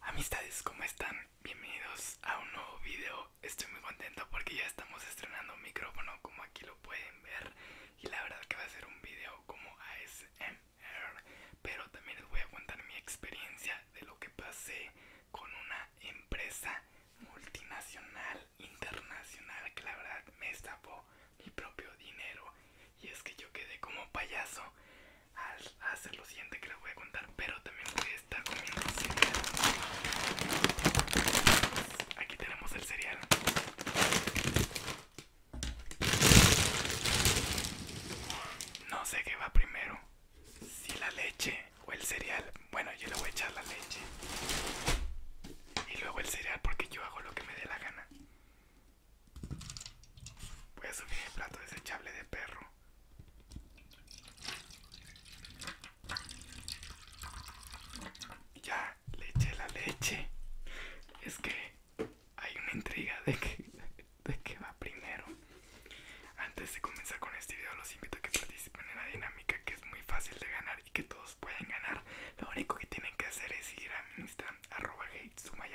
Amistades, ¿cómo están? Bienvenidos a un nuevo video. Estoy muy contento porque ya estamos estrenando un micrófono como aquí lo pueden ver. Y la verdad que va a ser un video como ASMR. Pero también les voy a contar mi experiencia de lo que pasé con una empresa multinacional, internacional, que la verdad me estafó mi propio dinero. Y es que yo quedé como payaso a hacer lo siguiente que les voy a contar, pero también voy a estar comiendo cereal. Aquí tenemos el cereal. No sé qué va primero, si la leche o el cereal. Bueno, yo le voy a echar la leche y luego el cereal porque yo hago lo que me dé la gana. Voy a subir el plato desechable de perro. Ya, le eché la leche. Es que hay una intriga de que, de va primero. Antes de comenzar con este video, los invito a que participen en la dinámica que es muy fácil de ganar y que todos pueden ganar. Lo único que tienen que hacer es ir a mi Instagram arroba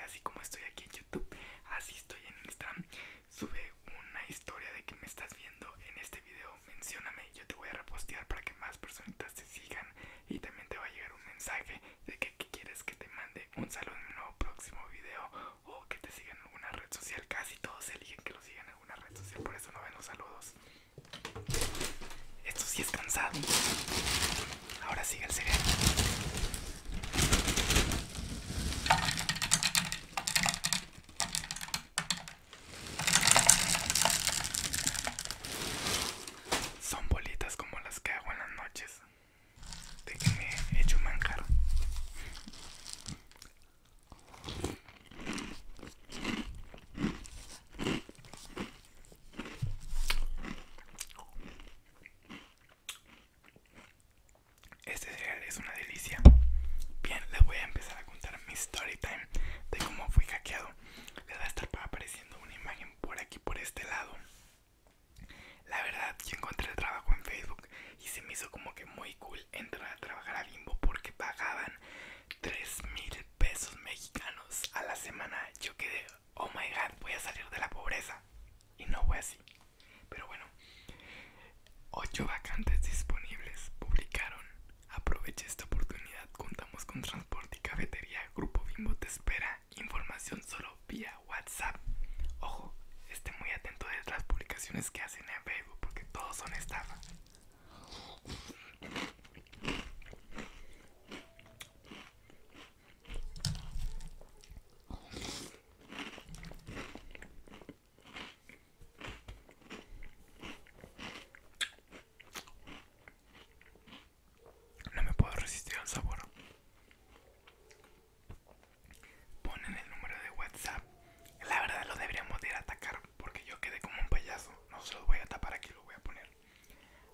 así como estoy aquí en YouTube, así estoy en Instagram. Sube una historia de que me estás viendo en este video, mencióname, yo te voy a repostear para que más personitas te sigan y también te va a llegar un mensaje de que, quieres que te mande un saludo en un nuevo próximo video o que te sigan en alguna red social. Casi todos eligen que lo sigan en alguna red social, por eso no ven los saludos. Esto sí es cansado. Ahora sigue el cereal. Son bolitas como las que hago en las noches. De que me he hecho manjar. Este cereal es una delicia. Bien, les voy a empezar a contar mi story time de cómo fui hackeado. Les va a estar apareciendo una imagen por aquí, por este lado. La verdad, yo encontré trabajo en Facebook y se me hizo como que muy cool entrar a trabajar a Bimbo porque pagaban 3 mil pesos mexicanos a la semana. Yo quedé oh my god, voy a salir de la pobreza. Y no voy así. Pero bueno, ocho vacantes disponibles publicaron. Aprovecha esta oportunidad. Contamos con transporte y cafetería. Grupo Bimbo te espera. Información solo vía WhatsApp. Ojo, esté muy atento A las publicaciones que hacen en Facebook porque todos son estafa. No me puedo resistir al sabor. Ponen el número de WhatsApp. La verdad lo deberíamos ir a atacar porque yo quedé como un payaso. No se lo voy a tapar aquí, lo voy a poner.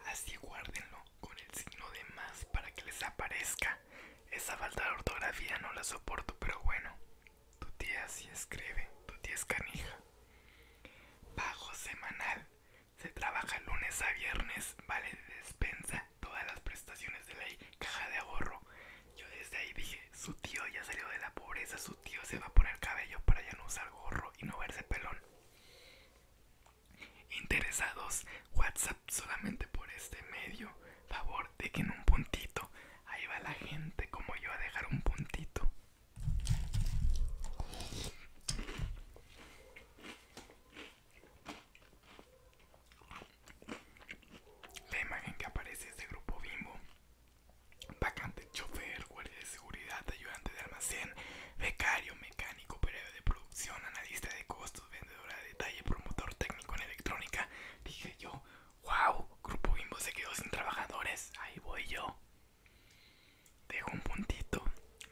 Así guárdenlo con el signo de más para que les aparezca. Esa falta de ortografía no la soporto, pero bueno. Tu tía sí escribe, tu tía es canija. Bajo semanal. Se trabaja lunes a viernes, vale de despensa, todas las prestaciones de ley, caja de ahorro. Yo desde ahí dije, su tío ya salió de la pobreza, su tío se va a poner cabello para ya no usar gorro y no verse pelón. Interesados, WhatsApp solamente por este medio. Favor, de que en un puntito. Ahí va la gente como yo a dejar un puntito. La imagen que aparece ese Grupo Bimbo. bacante chofer, guardia de seguridad, ayudante de almacén, becario, mecánico, periodo de producción, analista de costos, vendedora de detalle, promotor técnico en electrónica. Dije yo, wow, Grupo Bimbo se quedó sin trabajadores, ahí voy yo. Dejo un puntito,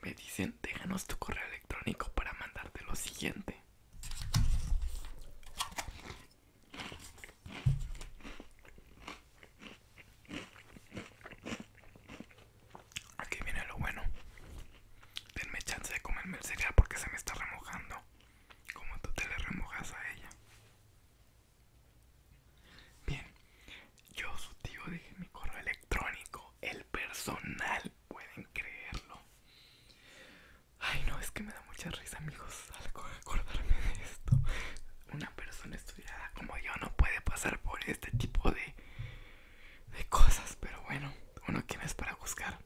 me dicen, déjanos tu correo electrónico para mandarte lo siguiente. Aquí viene lo bueno. Denme chance de comerme el cereal porque se me está remojando. Como tú te le remojas a ella. Bien, yo su tío dije mi correo electrónico, el personal, pueden creerlo. Ay no, es que me da mucha risa amigos al acordarme de esto. Una persona estoy como yo no puede pasar por este tipo de, de cosas. Pero bueno, uno que no es para buscar.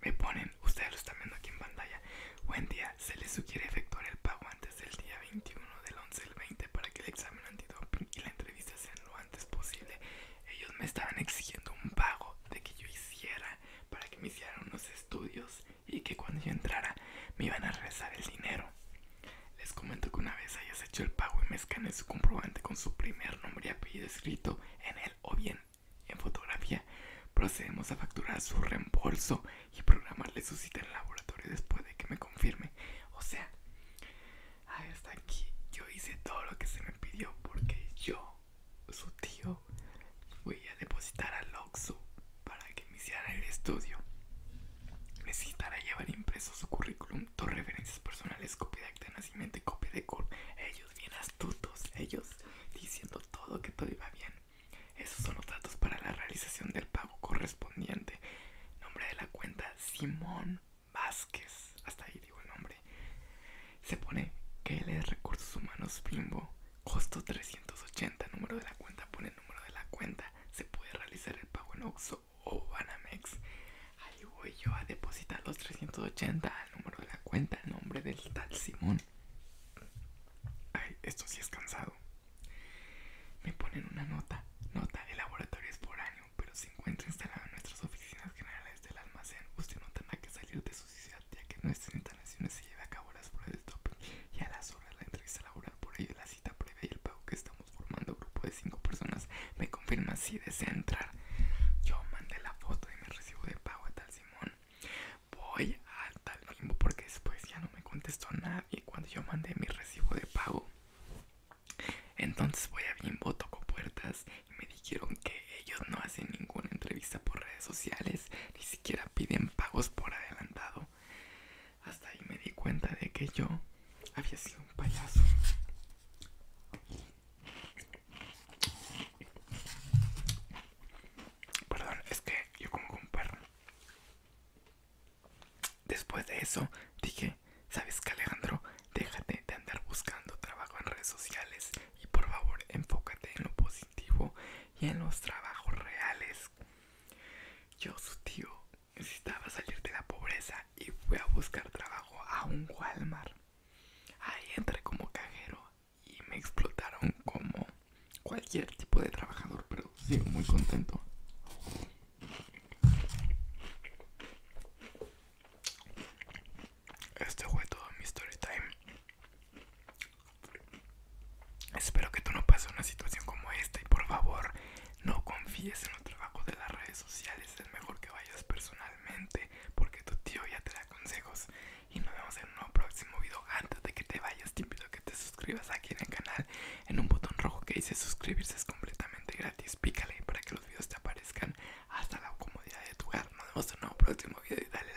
Me ponen, ustedes lo están viendo aquí en pantalla. Buen día, se les sugiere efectuar el pago antes del día 21 del 11 al 20 para que el examen antidoping y la entrevista sean lo antes posible. Ellos me estaban exigiendo un pago de que yo hiciera para que me hicieran unos estudios y que cuando yo entrara me iban a regresar el dinero. Les comento que una vez hayas hecho el pago y me escanees su comprobante con su primer nombre y apellido escrito en él o bien en fotografía, procedemos a facturar su reembolso y programarle su cita en el laboratorio después de que me confirme. O sea, hasta aquí yo hice todo lo que se me pidió porque yo, su tío, voy a depositar al Oxxo para que iniciara el estudio. Necesitará llevar impreso su currículum, dos referencias personales, copia de acta de nacimiento y copia de cor Ellos bien astutos, ellos diciendo todo que todo iba bien. Esos son los datos para la realización del pago correspondiente. Nombre de la cuenta, Simón Vázquez. Hasta ahí digo el nombre. Se pone es Recursos Humanos Bimbo. Costo 380. Número de la cuenta, pone el número de la cuenta se puede realizar el pago en Oxxo o Banamex. Ahí voy yo a depositar los 380 al número de la cuenta, al nombre del tal Simón. Ay, esto sí es cansado. Me ponen una nota. Nota, el laboratorio es por año, pero se encuentra instalado en nuestras oficinas generales del almacén. Usted no tendrá que salir de su ciudad ya que no es central instalaciones se a cabo las pruebas de doping y a las horas la entrevista laboral. Por ello, la cita previa y el pago que estamos formando, grupo de 5 personas, me confirma si desea entrar. Yo mandé la foto de mi recibo de pago a tal Simón. Voy al tal limbo porque después ya no me contestó nadie cuando yo mandé mi recibo de pago. Entonces voy a Bimbo, toco puertas y me dijeron que ellos no hacen ninguna entrevista por redes sociales, ni siquiera piden pagos por adelantado. Hasta ahí me di cuenta de que yo había sido un payaso. Perdón, es que yo como un perro. Después de eso dije, ¿sabes qué Alejandro? Déjate de andar buscando trabajo en redes sociales y por favor enfócate en lo positivo y en los trabajos reales. Yo, su tío, necesitaba salir de la pobreza y fui a buscar trabajo a un Walmart. Ahí entré como cajero y me explotaron como cualquier tipo de trabajador, pero sigo muy contento. Este fue todo mi story time. Espero que tú no pases una situación como esta y por favor no confíes en los trabajos de las redes sociales. Es mejor que vayas personalmente porque tu tío ya te da consejos. Y nos vemos en un nuevo próximo video. Antes de que te vayas te invito a que te suscribas aquí en el canal. En un botón rojo que dice suscribirse es completamente gratis. Pícale para que los videos te aparezcan hasta la comodidad de tu hogar. Nos vemos en un nuevo próximo video y dale like.